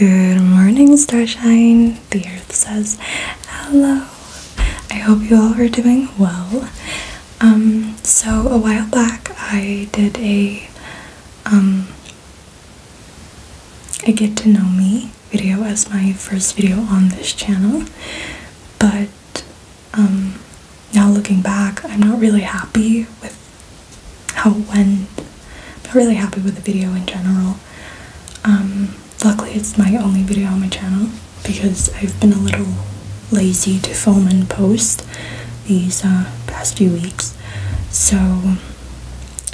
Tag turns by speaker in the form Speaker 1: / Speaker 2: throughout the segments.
Speaker 1: Good morning, Starshine. The Earth says hello. I hope you all are doing well. Um, so a while back, I did a um a get to know me video as my first video on this channel, but um now looking back, I'm not really happy with how it went. really happy with the video in general. Um, luckily, it's my only video on my channel because I've been a little lazy to film and post these uh, past few weeks. So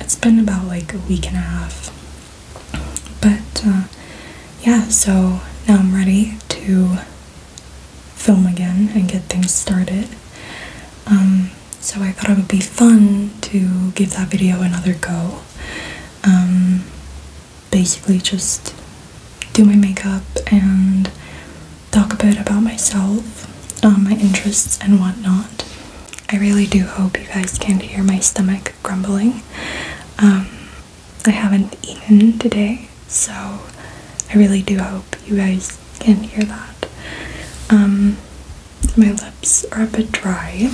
Speaker 1: it's been about like a week and a half. But uh, yeah, so now I'm ready to film again and get things started. Um, so I thought it would be fun to give that video another go. Um, basically, just do my makeup and talk a bit about myself, um, my interests, and whatnot. I really do hope you guys can not hear my stomach grumbling. Um, I haven't eaten today, so I really do hope you guys can not hear that. My lips are a bit dry.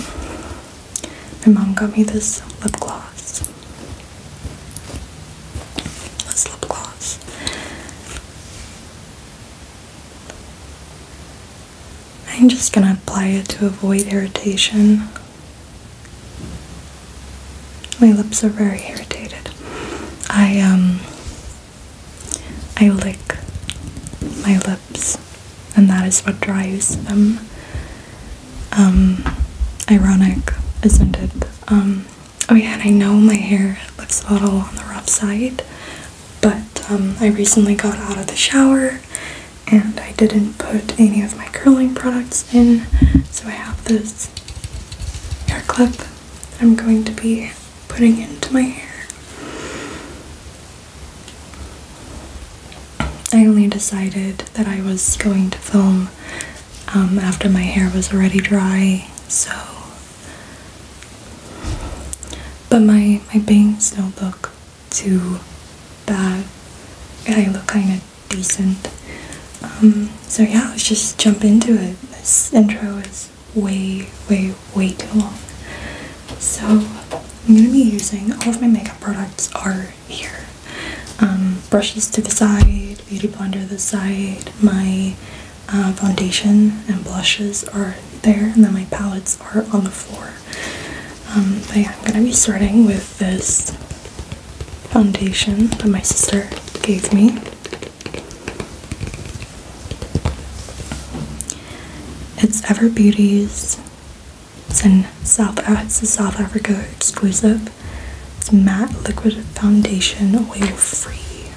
Speaker 1: My mom got me this lip gloss. lip gloss. I'm just gonna apply it to avoid irritation. My lips are very irritated. I um I lick my lips, and that is what drives them. Um, ironic, isn't it? Um, oh yeah, and I know my hair looks a little on the rough side, but um, I recently got out of the shower and I didn't put any of my curling products in, so I have this hair clip I'm going to be putting it into my hair. I only decided that I was going to film um, after my hair was already dry, so. But my, my bangs don't look too bad. I look kind of decent. Um, so yeah, let's just jump into it. This intro is way, way, way too long. So I'm gonna be using all of my makeup products are here. Um, brushes to the side, beauty blender to the side, my uh, foundation and blushes are there, and then my palettes are on the floor. Um, but I'm gonna be starting with this foundation that my sister gave me. It's Ever Beauties. It's in South. Uh, it's Africa exclusive. It's matte liquid foundation, oil free.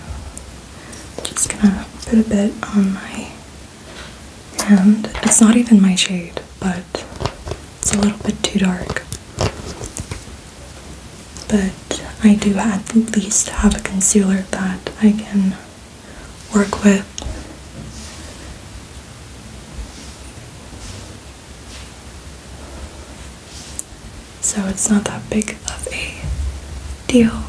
Speaker 1: Just gonna put a bit on my hand. It's not even my shade, but it's a little bit too dark. But I do at least have a concealer that I can work with. So it's not that big of a deal.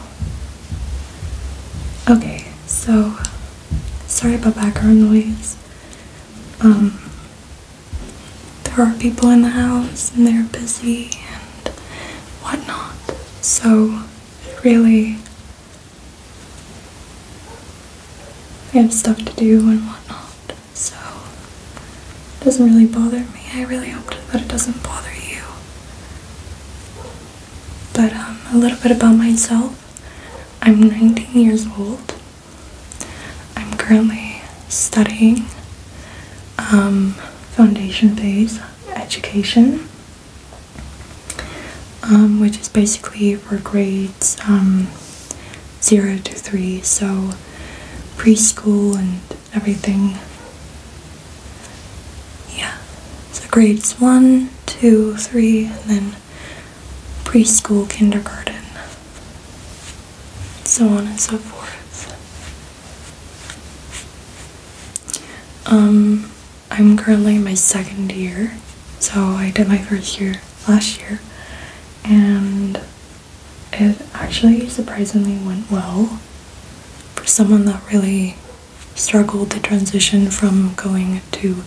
Speaker 1: Okay, so sorry about background noise. Um, there are people in the house and they're busy and whatnot. So really I have stuff to do and whatnot, so it doesn't really bother me. I really hope that it doesn't bother you. But um, a little bit about myself. I'm 19 years old. I'm currently studying um, foundation phase education um, which is basically for grades um, 0 to 3, so preschool and everything. Yeah, so grades one, two, three, and then preschool, kindergarten, so on and so forth. Um, I'm currently my second year, so I did my first year last year, and it actually surprisingly went well for someone that really struggled to transition from going to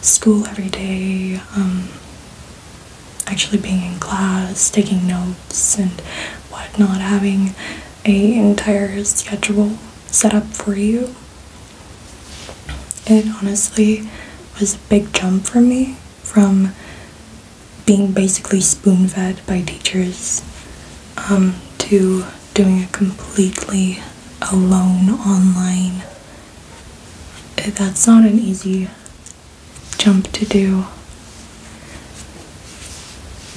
Speaker 1: school every day, um, actually being in class, taking notes, and whatnot, having a entire schedule set up for you. It honestly was a big jump for me from being basically spoon fed by teachers um, to doing it completely alone online. That's not an easy jump to do.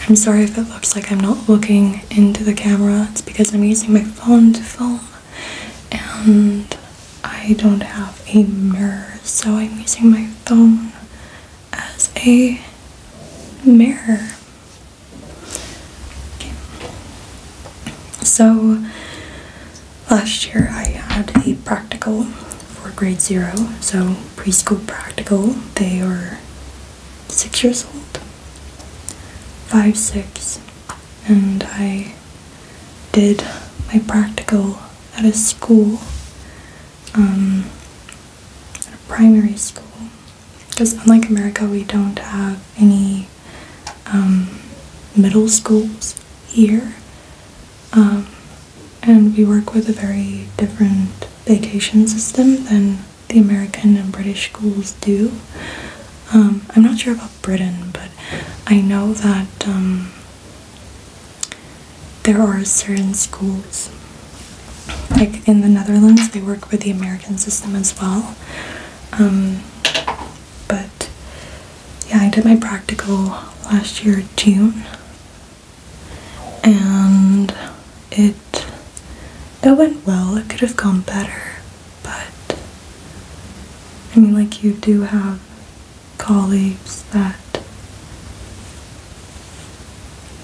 Speaker 1: I'm sorry if it looks like I'm not looking into the camera. It's because I'm using my phone to film and I don't have a mirror, so I'm using my phone as a mirror. So last year I had a practical for grade zero, so preschool practical. They are six years old, five, six, and I did my practical at a school, um, at a primary school. Because unlike America, we don't have any um, middle schools here. Um, and we work with a very different vacation system than the American and British schools do. Um, I'm not sure about Britain, but I know that um, there are certain schools, like in the Netherlands, they work with the American system as well. Um, but yeah, I did my practical last year, June, and it it went well. It could have gone better, but I mean, like you do have colleagues that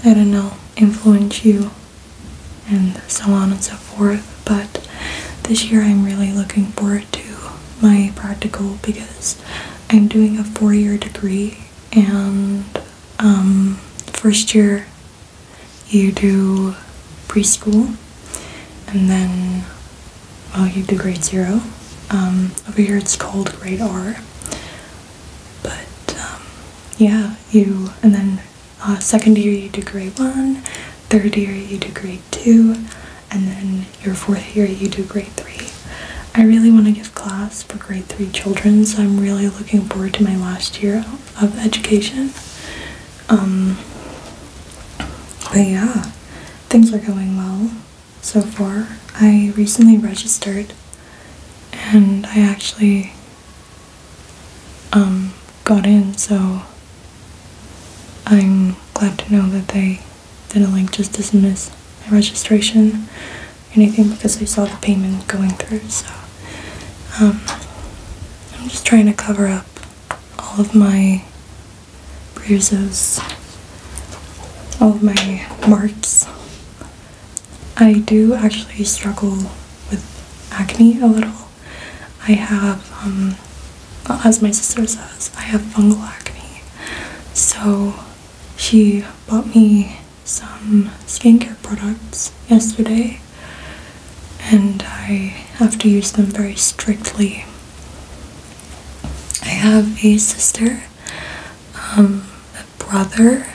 Speaker 1: I don't know influence you and so on and so forth. But this year, I'm really looking forward to my practical because I'm doing a four-year degree and um, first year you do preschool, and then, well, you do grade zero. Um, over here it's called grade R. But, um, yeah, you, and then uh, second year you do grade one, third year you do grade two, and then your fourth year you do grade three. I really want to get class for grade 3 children, so I'm really looking forward to my last year of education. Um, but yeah, things are going well so far. I recently registered and I actually um, got in, so I'm glad to know that they didn't like just dismiss my registration anything because I saw the payment going through. So um, I'm just trying to cover up all of my bruises, all of my marks. I do actually struggle with acne a little. I have, um, as my sister says, I have fungal acne. So she bought me some skincare products yesterday and I have to use them very strictly. I have a sister, um, a brother.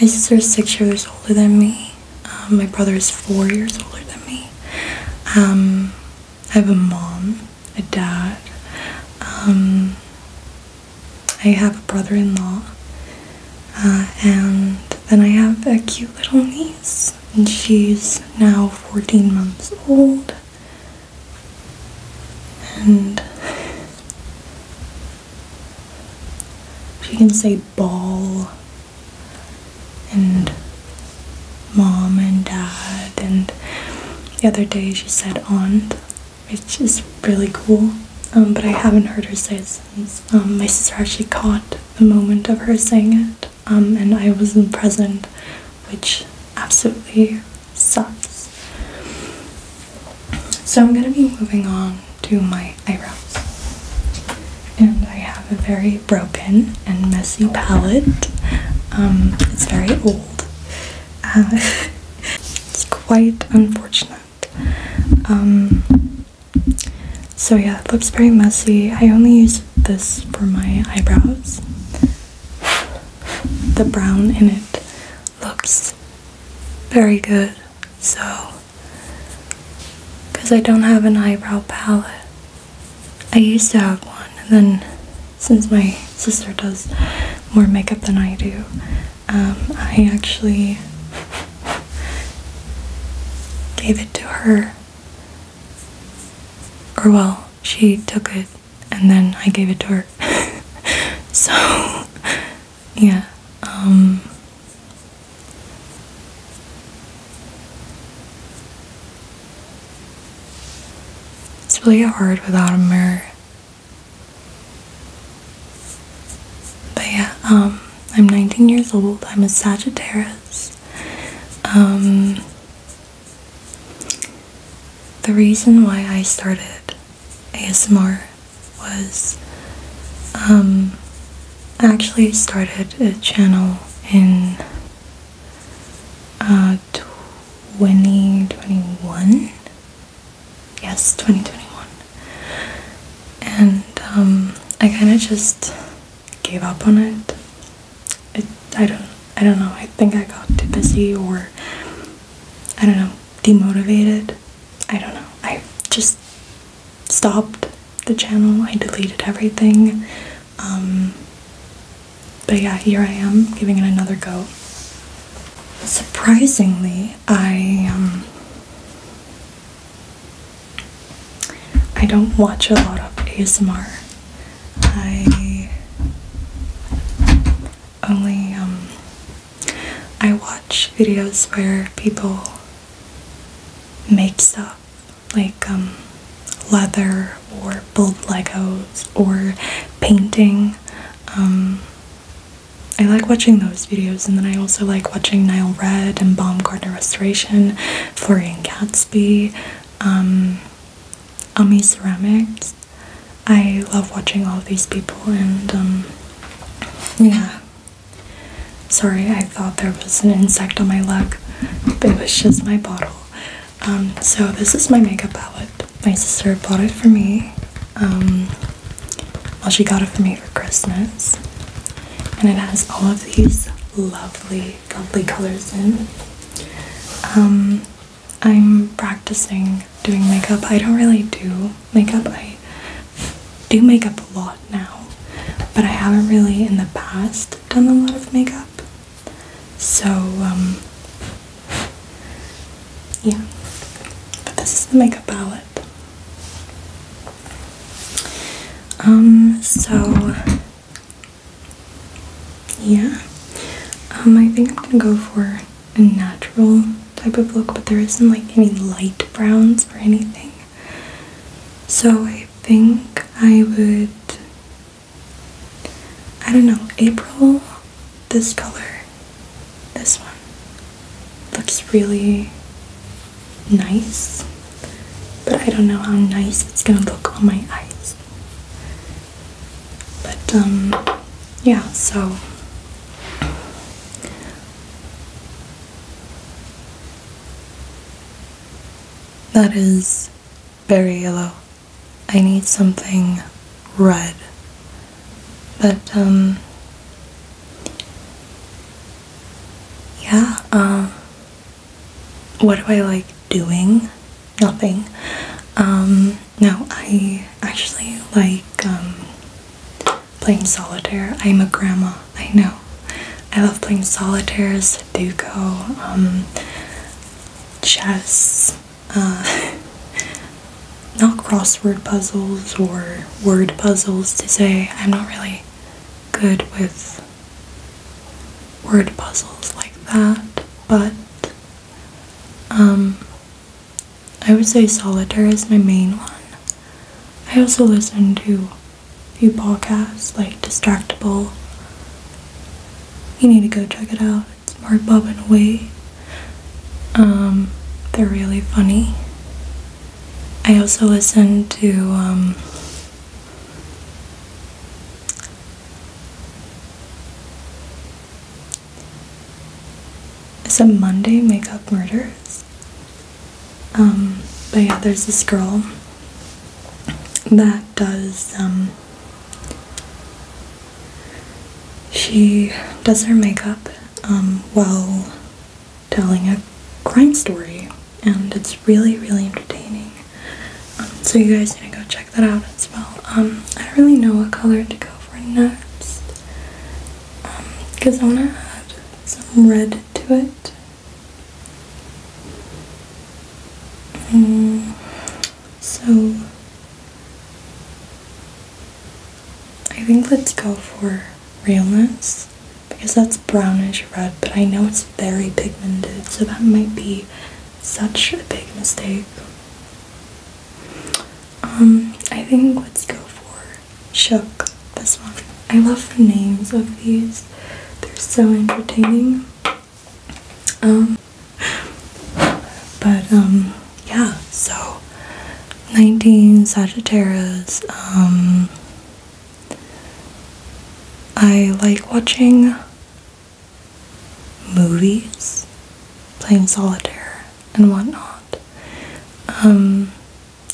Speaker 1: My sister is six years older than me. Um, my brother is four years older than me. Um, I have a mom, a dad, I have a brother in law, uh, and then I have a cute little niece, and she's now 14 months old. And she can say ball and mom and dad, and the other day she said aunt which is really cool. Um, but I haven't heard her say it since. Um, my sister actually caught the moment of her saying it, um, and I wasn't present, which absolutely sucks. So I'm gonna be moving on to my eyebrows. And I have a very broken and messy palette. it's very old. Uh, it's quite unfortunate. Um, so yeah, it looks very messy. I only use this for my eyebrows. The brown in it looks very good. So, because I don't have an eyebrow palette. I used to have one, and then since my sister does more makeup than I do, um, I actually gave it to her. Or, well, she took it and then I gave it to her. so, yeah. Um, it's really hard without a mirror. But yeah, um, I'm 19 years old. I'm a Sagittarius. Um, the reason why I started ASMR was um, I actually started a channel in uh, 2021 yes, 2021. And um, I kind of just gave up on it. I don't. I don't know. I think I got too busy, or I don't know, demotivated. I don't know. I just stopped the channel. I deleted everything. Um, but yeah, here I am giving it another go. Surprisingly, I um, I don't watch a lot of ASMR. I only um, I watch videos where people make stuff like um, leather or build Legos or painting. I like watching those videos, and then I also like watching Nile Red and Baumgartner Restoration, Florian Gatsby, um, Ami Ceramics. I love watching all of these people, and um, yeah. Sorry, I thought there was an insect on my leg, it was just my bottle. Um, so, this is my makeup palette. My sister bought it for me. Um, well, she got it for me for Christmas, and it has all of these lovely, lovely colors in. Um, I'm practicing doing makeup. I don't really do makeup. I do makeup a lot now, but I haven't really in the past done a lot of makeup. So, um, yeah. But this is the makeup palette. Um, so yeah, um, I think I'm gonna go for a natural type of look, but there isn't like any light browns or anything. So I think I would. I don't know, April, this color this one looks really nice, but I don't know how nice it's gonna look on my eyes. But, um, yeah, so. That is very yellow. I need something red. But, um, yeah, um, what do I like doing? Nothing. Um, no, I actually like um, playing solitaire. I'm a grandma, I know. I love playing solitaire, Sudoku, chess. Uh, not crossword puzzles or word puzzles to say. I'm not really good with word puzzles like that, but um, I would say solitaire is my main one. I also listen to a few podcasts like Distractable. You need to go check it out. Smart Bob and Away. Um, they're really funny. I also listen to um, it's a Monday Makeup Murders. Um, but yeah, there's this girl that does um, she does her makeup um, well telling a crime story, and it's really, really entertaining. Um, so you guys need to go check that out as well. Um, I don't really know what color to go for next, because I want to add some red to it. Mm, so I think let's go for realness because that's brownish red, but I know it's very pigmented, so that might be such a big mistake. Um, I think let's go for Shook, this one. I love the names of these. They're so entertaining. Um, but um, yeah, so 19 Sagittarius. Um, I like watching movies, playing solitaire, and whatnot. Um,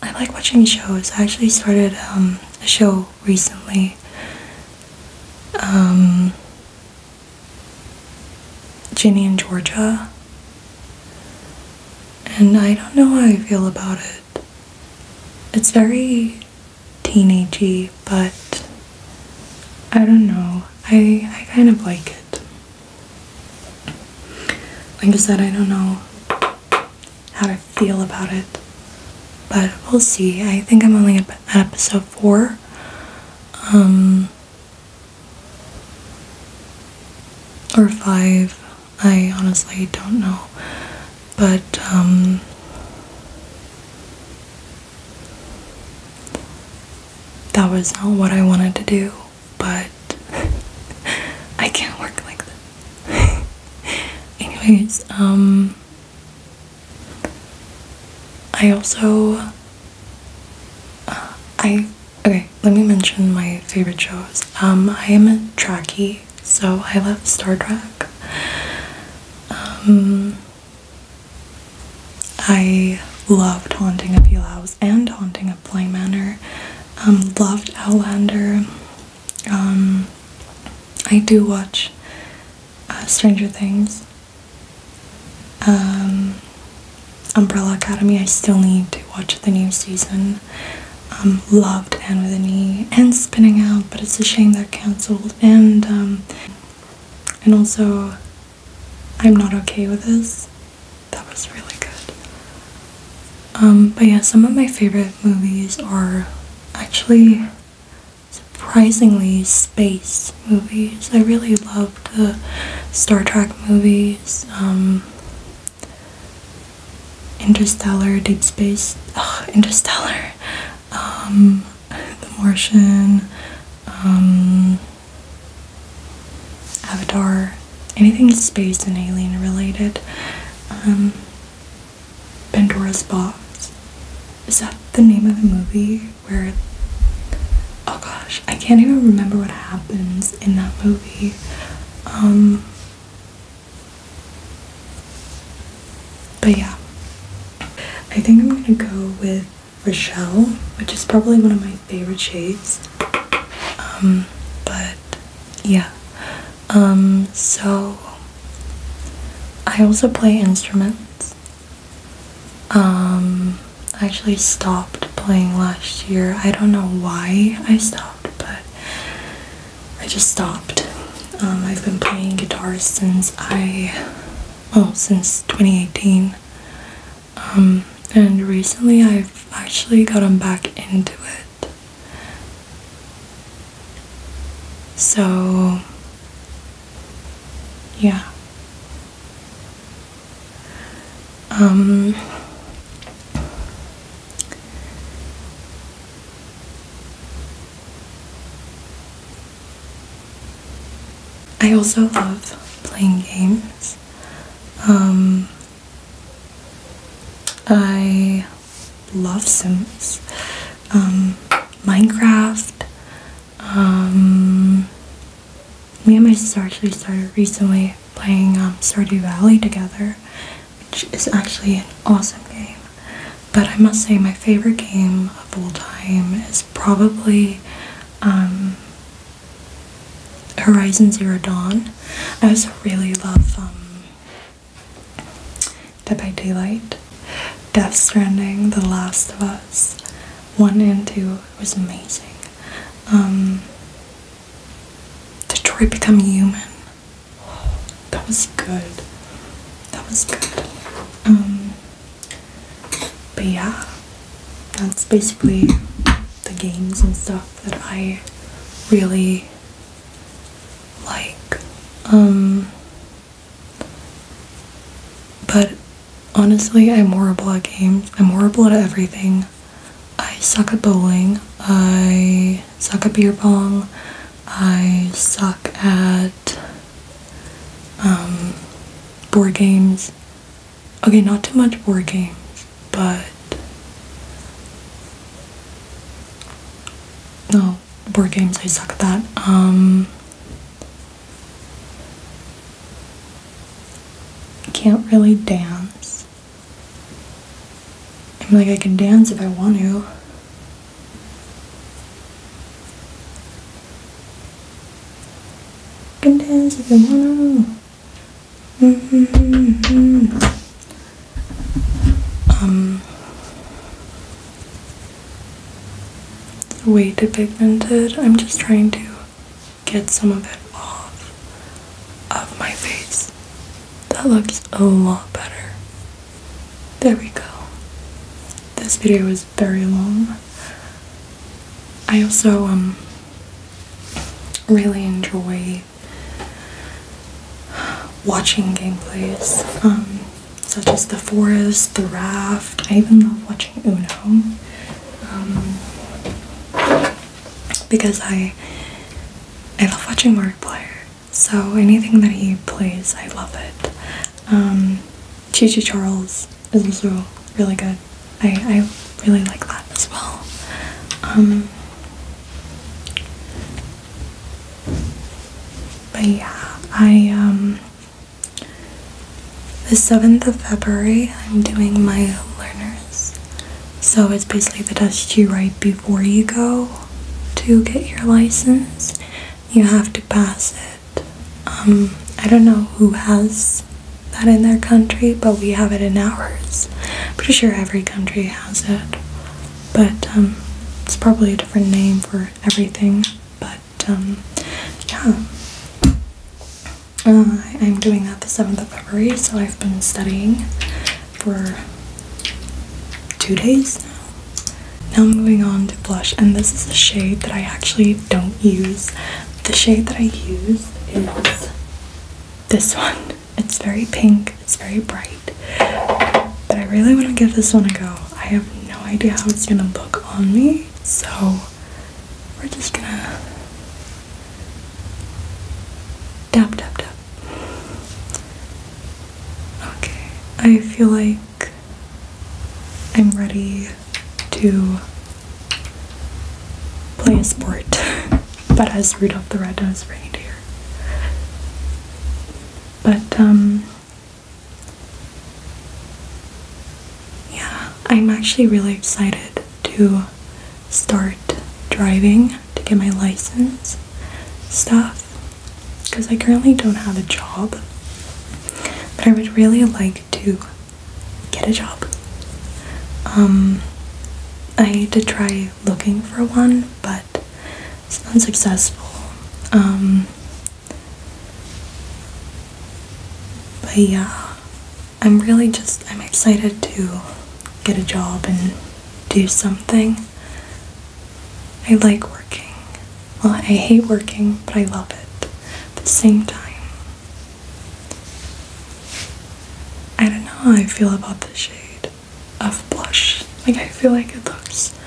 Speaker 1: I like watching shows. I actually started um, a show recently. Um, Ginny and Georgia and I don't know how I feel about it. It's very teenagey, but I don't know. I I kind of like it. Like I said, I don't know how to feel about it, but we'll see. I think I'm only at episode four. Um, or five. I honestly don't know. But, um, that was not what I wanted to do, but I can't work like this. Anyways, um, I also, uh, I Okay, let me mention my favorite shows. Um, I am a trackie, so I love Star Trek. Um, I loved Haunting of Hill House and Haunting of Bly Manor. Um, loved Outlander. Um, I do watch uh, Stranger Things. Um, Umbrella Academy. I still need to watch the new season. Um, loved Anne with a Knee and Spinning Out, but it's a shame that cancelled. And um, and also, I'm not okay with this. That was really good. Um, but yeah, some of my favorite movies are actually surprisingly space movies. I really loved the Star Trek movies. Um, Interstellar, Deep Space, oh, Interstellar, um, The Martian, um, Avatar, anything space and alien related. Um, Pandora's Box. Is that the name of the movie where? Oh gosh, I can't even remember what happens in that movie. Um, but yeah, I think I'm gonna go with Rochelle, which is probably one of my favorite shades. Um, but yeah, um, so I also play instruments. I actually stopped playing last year. I don't know why I stopped but I just stopped. Um, I've been playing guitar since I, well, since 2018. Um, and recently I've actually gotten back into it. So, yeah. Um, I also love playing games. Um, I love Sims, um, Minecraft. me and my sister actually started recently playing um, Stardew Valley together, which is actually an awesome game. But I must say, my favorite game of all time is probably um, Horizon Zero Dawn. I also really love um, Dead by Daylight, Death Stranding, The Last of Us. One and two was amazing. Um, Detroit Become Human. that was good. That was good. Um, but yeah, that's basically the games and stuff that I really like. Um, but honestly, I'm horrible at games. I'm horrible at everything. I suck at bowling. I suck at beer pong. I suck at um, board games. Okay, not too much board games, but no board games. I suck at that. Um, can't really dance. I'm like, I can dance if I want to. can dance if I want to. -hmm, mm -hmm. Um, way too pigmented. I'm just trying to get some of it off of my face. That looks a lot better. There we go. This video is very long. I also um, really enjoy watching gameplays, um, such as The Forest, The Raft. I even love watching Uno. Um, because I I love watching Markiplier. So anything that he plays, I love it. Um, Chi Charles is also really good. I, I really like that as well. Um, but yeah, I um, the 7th of February I'm doing my learners so it's basically the test you write before you go to get your license. You have to pass it. Um, I don't know who has that in their country, but we have it in ours. Pretty sure every country has it, but um, it's probably a different name for everything. But um, yeah. Uh, I'm doing that the 7th of February, so I've been studying for two days now. Now moving on to blush, and this is a shade that I actually don't use. The shade that I use is this one. It's very pink, it's very bright, but I really want to give this one a go. I have no idea how it's going to look on me, so we're just gonna Tap, tap, tap. Okay, I feel like I'm ready to play a sport, but as Rudolph the Red-Nosed Reindeer. But, um, yeah, I'm actually really excited to start driving to get my license stuff because I currently don't have a job. But I would really like to get a job. Um, I did try looking for one, but it's unsuccessful. Um, but yeah, I'm really just I'm excited to get a job and do something. I like working. Well, I hate working, but I love it at the same time. I don't know how I feel about the shade of blush. Like I feel like it looks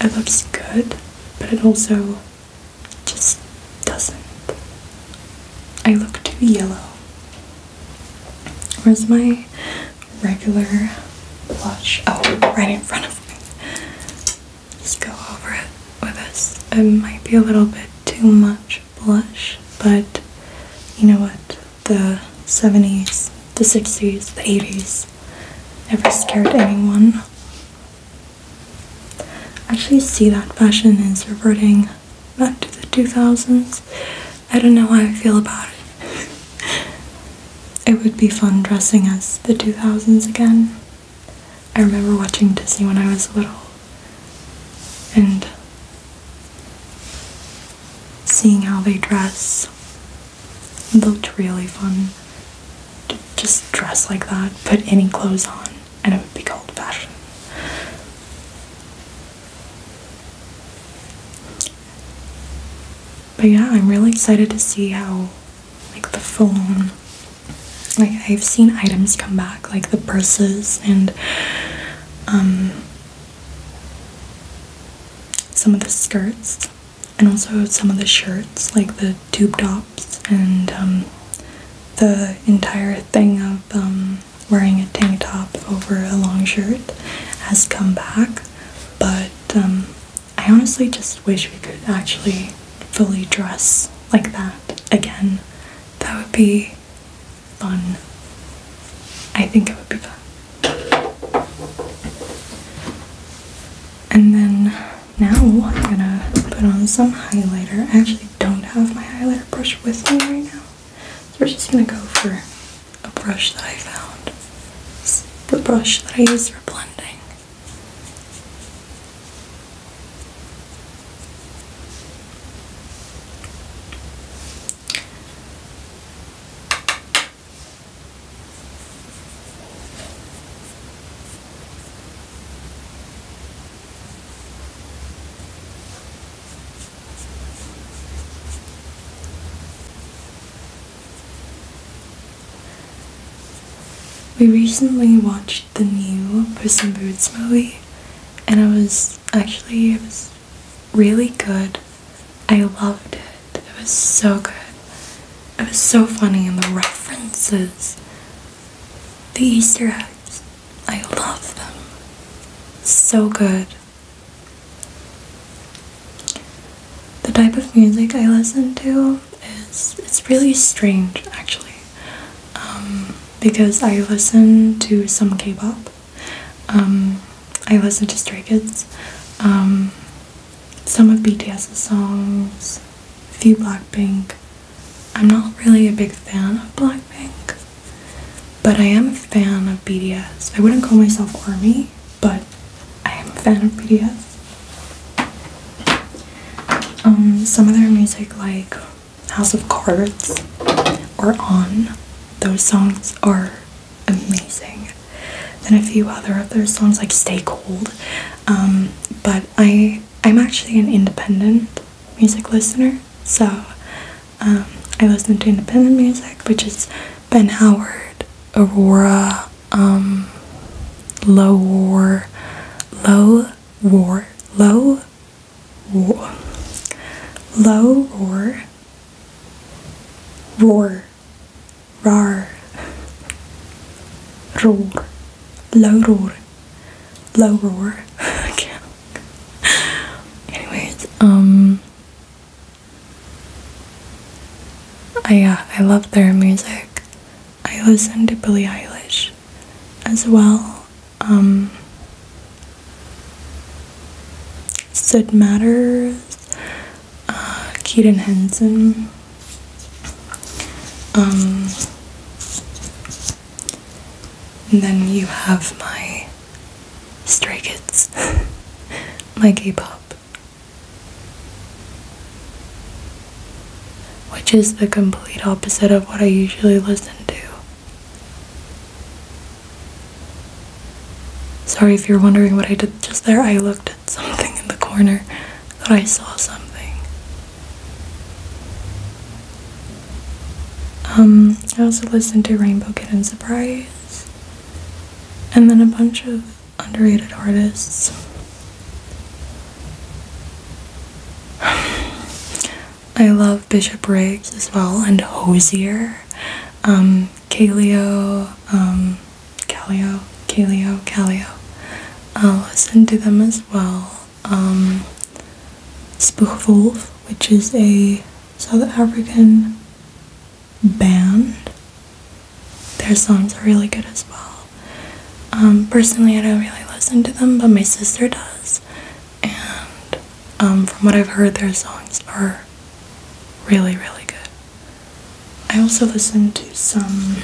Speaker 1: it looks good, but it also just doesn't. I look too yellow. Where's my regular blush? Oh, right in front of me. Just go over it with this. It might be a little bit too much blush, but you know what? The 70s, the 60s, the 80s never scared anyone. I actually see that fashion is reverting back to the 2000s. I don't know how I feel about it. it would be fun dressing as the 2000s again. I remember watching Disney when I was little and seeing how they dress. looked really fun to just dress like that, put any clothes on, and it would be called fashion. But yeah, I'm really excited to see how like the phone like I've seen items come back like the purses and um some of the skirts and also some of the shirts like the tube tops and um the entire thing of um wearing a tank top over a long shirt has come back, but um, I honestly just wish we could actually fully dress like that again. That would be fun. I think it would be fun. And then now I'm gonna put on some highlighter. I actually don't have my highlighter brush with me right now we're just going to go for a brush that I found. It's the brush that I use for blending. We recently watched the new Puss in Boots movie, and it was actually it was really good. I loved it. It was so good. It was so funny, and the references, the Easter eggs, I love them. So good. The type of music I listen to is it's really strange actually um, because I listen to some K-pop. Um, I listen to Stray Kids, um, some of BTS's songs, a few Blackpink. I'm not really a big fan of Blackpink. But I am a fan of BDS. I wouldn't call myself ARMY, but I am a fan of BDS. Um, some of their music, like House of Cards or On, those songs are amazing. Then a few other of their songs, like Stay Cold. Um, but I I'm actually an independent music listener, so um, I listen to independent music, which is Ben Howard, Aurora, um, Low War, Low War, Low War, Low Roar, Roar, Rar, Roar, Low Roar, Low Roar. I can't Anyways, um I uh, I love their music. I listen to Billie Eilish as well. Um, Sid Matters, uh, Keaton Henson, um, and then you have my Stray Kids, my K-pop, which is the complete opposite of what I usually listen to. Sorry if you're wondering what I did just there. I looked at something in the corner, thought I saw something. Um, I also listened to Rainbow Kid and Surprise, and then a bunch of underrated artists. I love Bishop Riggs as well, and Hosier, Calio, um, Kaleo, Calio, um, Calio. I'll listen to them as well. Um, which is a South African band. Their songs are really good as well. Um, personally, I don't really listen to them, but my sister does. And um, from what I've heard, their songs are really, really good. I also listen to some.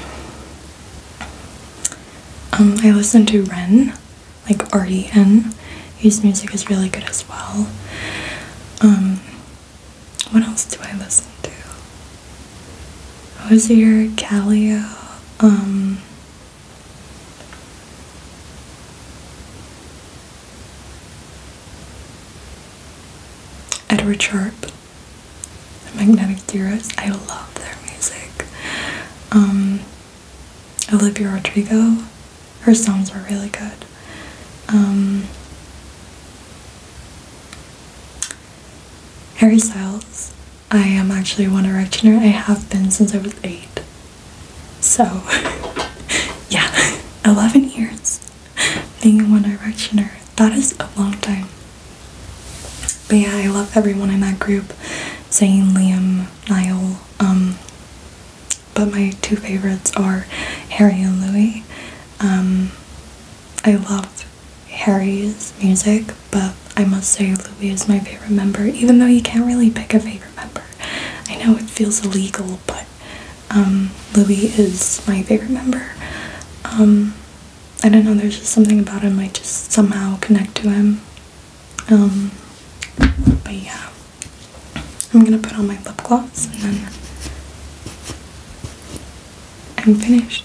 Speaker 1: Um, I listen to Ren like RDN. His music is really good as well. Um, what else do I listen to? Hozier, Calio, um, Edward Sharp, Magnetic Zeros. I love their music. Um, Olivia Rodrigo. Her songs were really good. Um, Harry Styles. I am actually a One Directioner. I have been since I was eight. So, yeah, 11 years being One Directioner. That is a long time. But yeah, I love everyone in that group. Zayn, Liam, Niall, um, but my two favorites are Harry and Louis. Um, I love Harry's music, but I must say Louis is my favorite member, even though you can't really pick a favorite member. I know it feels illegal, but um, Louis is my favorite member. Um, I don't know, there's just something about him I just somehow connect to him. Um, but yeah, I'm gonna put on my lip gloss and then I'm finished.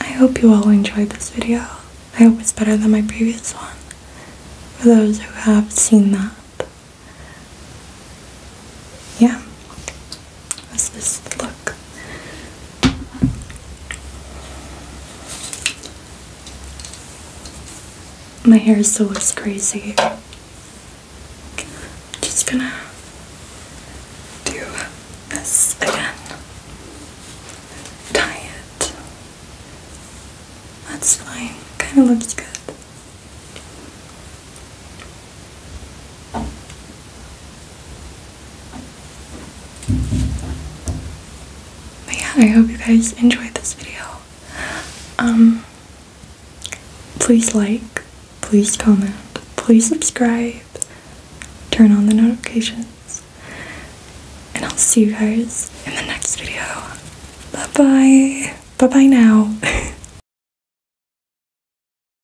Speaker 1: I hope you all enjoyed this video. I hope it's better than my previous one. For those who have seen that. Yeah was this look. My hair is always crazy. just gonna do this again. Tie it. That's fine. Kind of looks good yeah, I hope you guys enjoyed this video. Um, please like, please comment, please subscribe, turn on the notifications, and I'll see you guys in the next video. Bye bye. Bye bye now.